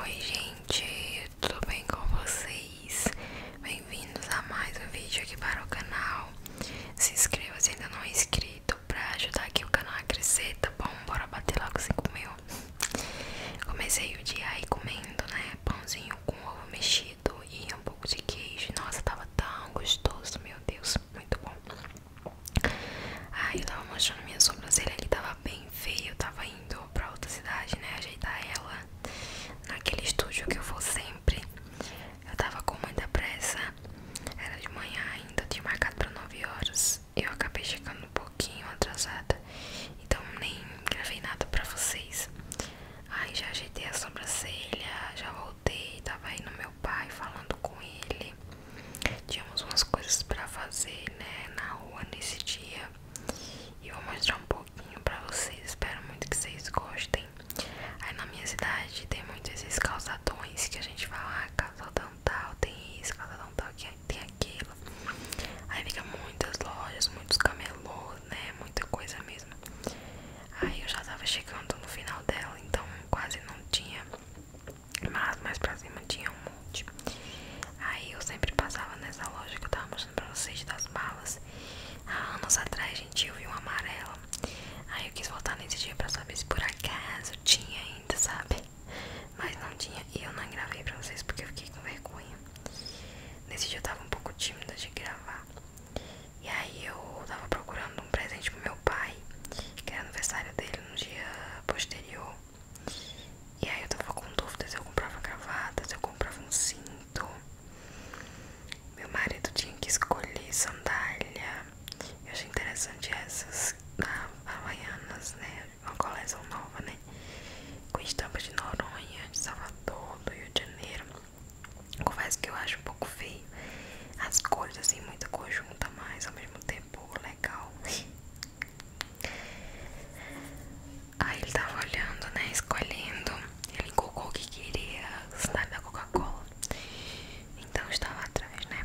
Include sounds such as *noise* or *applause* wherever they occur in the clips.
Oi gente, tudo bem com vocês? Bem-vindos a mais um vídeo aqui para o canal Se inscreva se ainda não é inscrito para ajudar aqui o canal a crescer, tá bom? Bora bater logo 5 mil Comecei o dia aí comendo, né? Pãozinho com ovo mexido e um pouco de queijo Nossa, tava tão gostoso, meu Deus muito bom. Aí eu tava mostrando minha sobrancelha que tava bem feia. Eu tava indo pra outra cidade, né? Ajeitar ela naquele estúdio que eu vou sempre. Eu tava com muita pressa. Era de manhã ainda, eu tinha marcado pra 9 horas. Eu acabei chegando um pouquinho atrasada. Então nem gravei nada pra vocês. Aí já ajeitei a sobrancelha, já voltei, tava aí no meu pai falando com ele. Tínhamos umas coisas pra fazer, né, na rua nesse dia. E vou mostrar um pouquinho pra vocês. Espero muito que vocês gostem. Aí na minha cidade tem muitos esses calçadões que a gente fala, ah, calçadão tal, tem isso, calçadão tal, tem aquilo. Aí fica muitas lojas, muitos camelôs, né, muita coisa mesmo. Aí eu já tava chegando no final dela, então quase não tinha mas mais pra cima tinha um monte. Aí eu sempre passava nessa loja que eu tava mostrando pra vocês das balas. Há anos atrás, a gente, eu vi um amarelo. Aí eu quis voltar nesse dia pra saber se por acaso tinha ainda, sabe? Mas não tinha e eu não gravei pra vocês porque eu fiquei com vergonha. Nesse dia eu tava um pouco tímida de gravar. E aí eu tava procurando um presente pro meu pai, que era aniversário dele no dia posterior. E aí eu tava com dúvidas se eu comprava gravata, se eu comprava um cinto. Meu marido tinha que escolher sandália. Eu achei interessante essas Havaianas, né? Uma coleção nova, né? Com estampa de Noronha, de Salvador, do Rio de Janeiro. Confesso que eu acho um pouco feio as coisas assim, muita conjunta, mas ao mesmo tempo legal. Aí ele tava olhando, né? Escolhendo. Ele colocou o que queria, sabe, da Coca-Cola. Então estava atrás, né?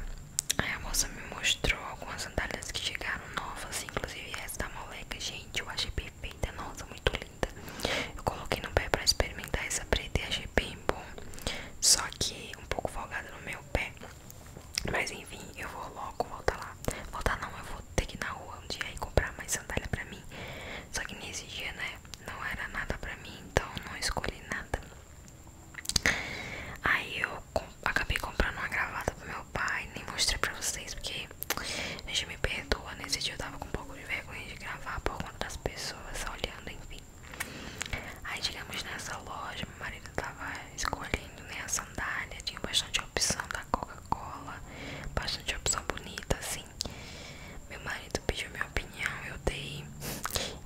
Aí a moça me mostrou algumas sandálias que chegaram novas, inclusive essa da moleca. Gente, eu achei perfeita, nossa, muito linda. Eu coloquei no pé pra experimentar essa preta e achei bem bom, só que um pouco folgado no meu pé. Mas enfim, eu vou logo voltar lá. Voltar não, eu vou ter que ir na rua um dia e comprar mais sandália pra mim. Só que nesse dia, né, não era nada pra mim, então não escolhi nada. Aí eu acabei comprando uma gravata pro meu pai, nem mostrei pra vocês, porque a gente me perdoa. Nesse dia eu tava com um pouco de vergonha de gravar por conta das pessoas olhando, enfim. Aí chegamos nessa loja, meu marido tava escolhendo né, a sandália, tinha bastante opção da Coca-Cola, bastante opção bonita, assim. Meu marido pediu minha opinião, eu dei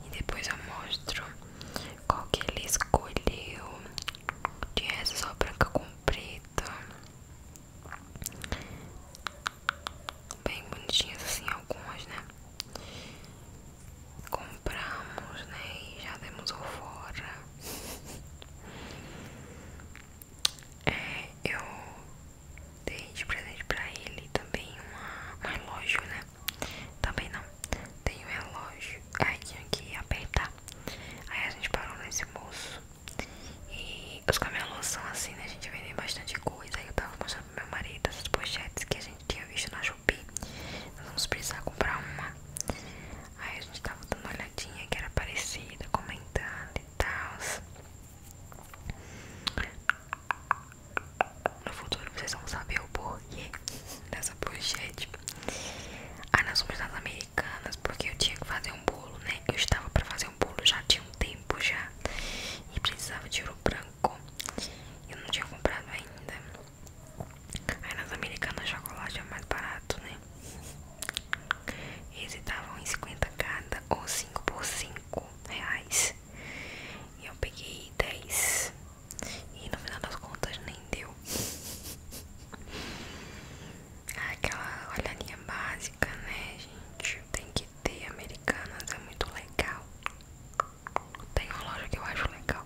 e depois eu mostro qual que ele escolheu. Tinha essa só branca com preta bem bonitinhas assim algumas, né? Compramos, né? E já demos o fora. É, eu dei de presente pra ele também um relógio, né? Também não. Tem um relógio. Aí tinha que apertar. Aí a gente parou nesse moço. E os camelôs são assim, né? A gente vendem bastante coisa. Aí eu tava mostrando pro meu marido essas pochetes que a gente tinha visto na Shopee. Nós vamos precisar comprar uma. Aí a gente tava dando uma olhadinha que era parecida, comentando e tal. No futuro vocês vão saber o porquê dessa pochete. Aí ah, nós fomos nas Americanas porque eu tinha que fazer um bolo, né? Eu estava pra fazer fazer um bolo já tinha um tempo já e precisava de ouro branco. Eu não tinha comprado ainda. Aí nas americanas chocolate é mais barato, né? Eles estavam em 50 cada ou 5 por 5 reais. E eu peguei 10. E no final das contas nem deu. *laughs* Aquela olhadinha básica música, né, gente? Tem que ter americanas, é muito legal. Tem uma loja que eu acho legal.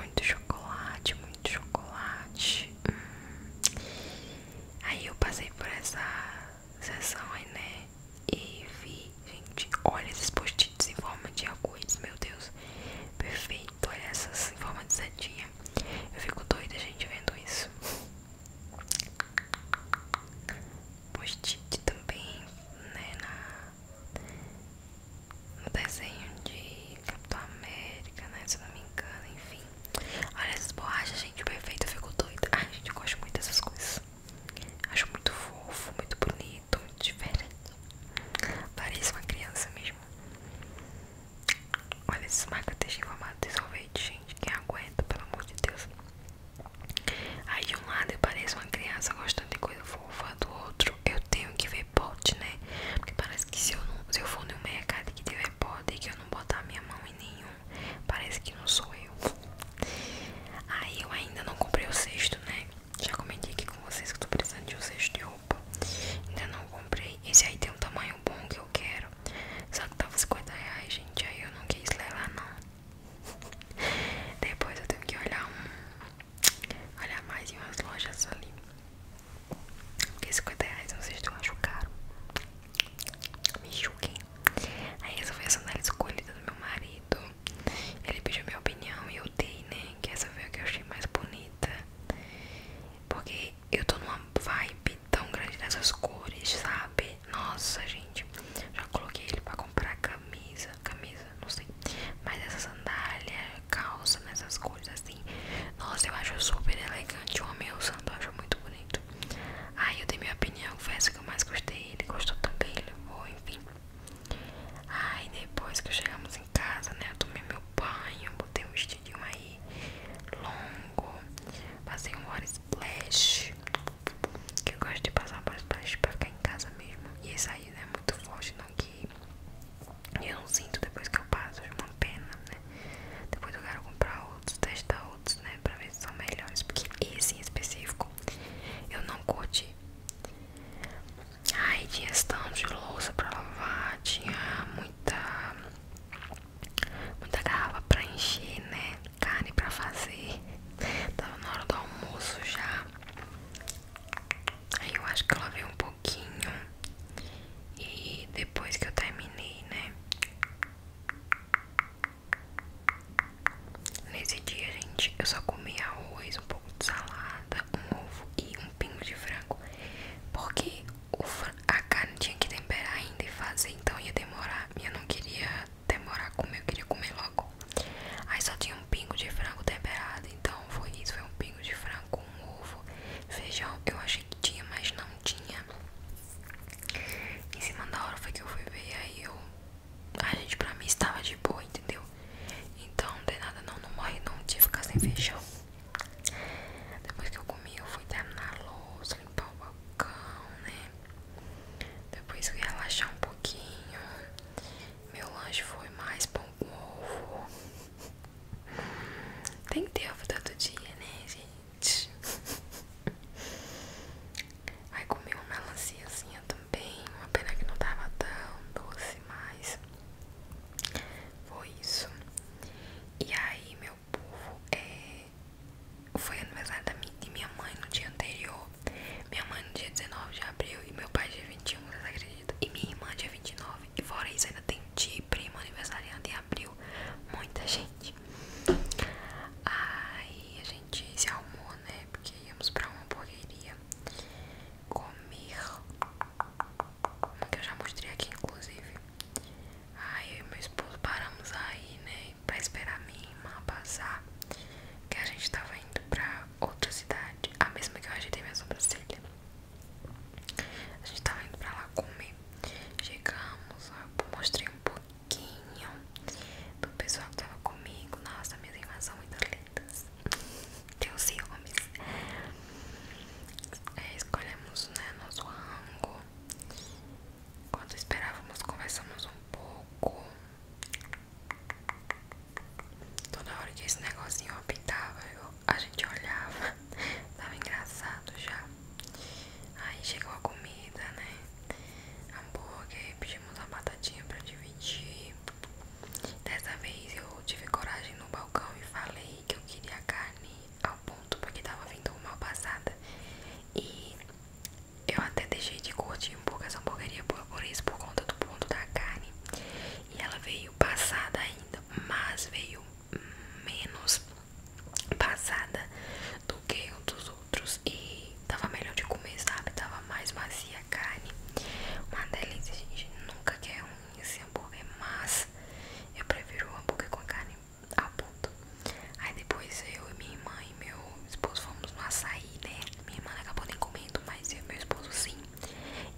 Muito chocolate, muito chocolate. Hum. Aí eu passei por essa sessão aí, né? E vi, gente, olha esses post-its em forma de arco-íris, meu Deus, perfeito. Dói essas em forma de setinha. Eu fico doida, gente, vendo isso. Post-it também, né? Na... No desenho de Capitão América, né? Se eu não me engano, enfim. Olha essas borrachas, gente, perfeito. Eu fico doida. Ai, gente, eu gosto muito dessas coisas. Acho muito fofo, muito bonito jeito muito diferente. Parece uma criança mesmo. Olha esses marca-texto informado de sorvete, gente. Quem aguenta, pelo amor de Deus. Aí de um lado eu pareço uma criança gostando de coisa fofa, do outro eu tenho que ver pote, né? Porque parece que se eu, não, se eu for no mercado que tiver pote e que eu não botar minha mão em nenhum, parece que não sou eu. Aí eu ainda não comprei o cesto né? Já comentei aqui com vocês que eu tô precisando de um cesto de roupa. Ainda não comprei. Esse aí tem um tamanho bom que eu quero. Só que tava 50 reais, gente. Aí eu não quis levar, não. *laughs* Depois eu tenho que olhar um. Olhar mais em umas lojas ali. Porque 50 reais não sei se eu acho caro. Me julguem. Aí essa foi a sandália escolhida do meu marido. Ele pediu minha opinião e eu dei, né? Que essa foi a que eu achei mais bonita. Porque eu tô numa vibe tão grande dessas cores, sabe? Nossa, gente. Já coloquei ele pra comprar camisa. Camisa, não sei. Mas essa sandália, calça, nessas né, cores assim. Nossa, eu acho super elegante. Eu amei o é sandália, eu acho muito bonito. Aí eu dei minha opinião, foi essa que eu mais gostei. Ele gostou também, ele levou, enfim ai depois que chegamos em casa, né? Eu tomei meu banho, botei um vestidinho aí longo, passei um hora splash. Que eu gosto de passar um splash pra ficar em casa mesmo. E esse aí né, é muito forte, não que eu não sinto depois que eu passo, é uma pena, né? Depois eu quero comprar outros, testar outros, né? Pra ver se são melhores. Porque esse em específico eu não curti Ai, tinha estão de louça pra lavar, tinha muita muita garrafa pra encher, né? Carne pra fazer. Tava na hora do almoço já. Aí eu acho que ela veio um pouquinho. E depois que eu terminei, né? Nesse dia, gente, eu só comi arroz, um pouco de salada, um ovo e um pingo de frango. Porque a carne tinha que temperar ainda e fazer, então ia demorar. E eu não queria demorar a comer, eu queria comer logo. Aí só tinha um pingo de frango temperado, então foi isso, foi um pingo de frango com um ovo, feijão. Eu achei que tinha, mas não tinha. Em cima da hora foi que eu fui ver, aí eu a gente pra mim estava de boa, entendeu? Então de nada não, não morre não, tinha que ficar sem feijão. Depois que eu comi, eu fui terminar a louça, limpar o balcão, né? Depois fui relaxar um pouquinho. Meu lanche foi mais pão com ovo. Tem que ter ovo todo dia, né, gente? *laughs* Aí comi uma melanciazinha também, uma pena que não tava tão doce, mas foi isso. E aí, meu povo, é, foi aniversário da minha mãe no dia anterior. Minha mãe no dia 19 de abril e meu pai dia 21, vocês acreditam? E minha irmã dia 29. E fora isso, ainda tem tia prima aniversariante em abril. Muita gente. Aí a gente se arrumou, né? Porque íamos pra uma hamburgueria comer, como que eu já mostrei aqui, inclusive. Aí eu e meu esposo paramos aí, né? Pra esperar a minha irmã passar. Que a gente tava indo pra outra cidade, a mesma que eu ajeitei minha sobrancelha. A gente tava indo pra lá comer. Chegamos, eu mostrei um pouco pouquinho do pessoal que tava comigo. Nossa, minhas irmãs são muito lindas. Tenho ciúmes. É, escolhemos né, nosso ângulo. Enquanto esperávamos, conversamos um pouco. Toda hora que esse negocinho apitava, a gente olhava. *laughs* Tava engraçado já. Aí chegou a comida, né? hambúrguer, pedimos a batatinha pra dividir. Dessa vez eu tive coragem no balcão e falei que eu queria a carne ao ponto porque tava vindo mal passada. E eu até deixei de curtir um pouco essa hamburgueria por, por isso, por conta do ponto da carne. E ela veio passada ainda, mas veio menos passada do que um dos outros e tava melhor de comer, sabe? Tava mais macia a carne. Uma delícia, gente. Nunca quer é um esse hambúrguer, mas eu prefiro o hambúrguer com a carne ao ponto. Aí depois eu e minha irmã e meu esposo fomos no açaí, né? Minha irmã acabou nem comendo, mas meu esposo sim.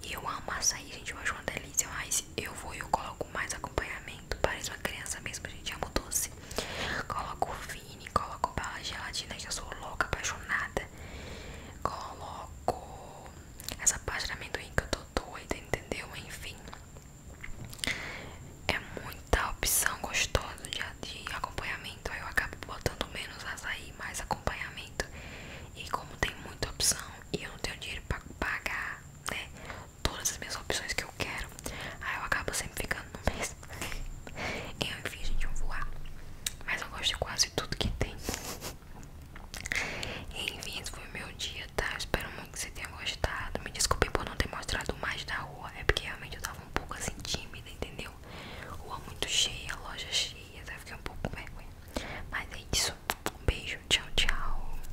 E eu amo açaí, gente. Eu acho uma delícia, mas eu vou e eu coloco mais acompanhamento Parece uma criança mesmo, a gente. ama doce. Coloco Vini, coloco bala gelatina, que eu sou louca, apaixonada. Coloco essa parte de amendoim que eu tô doida, entendeu? Enfim. É muita opção gostosa de, de acompanhamento. Aí eu acabo botando menos açaí, mais acompanhamento. E como tem muita opção e eu não tenho dinheiro pra pagar, né? todas as minhas opções que eu quero. Aí eu acabo sempre ficando no mesmo. *laughs* Enfim, gente, eu voar. Mas eu gosto de quase tudo que tem. Enfim, esse foi o meu dia, tá? espero muito que você tenha gostado. Me desculpe por não ter mostrado mais da rua. É porque realmente eu tava um pouco assim tímida, entendeu? Rua muito cheia, loja cheia. Até tá? fiquei um pouco Mas é isso. Um beijo, tchau, tchau.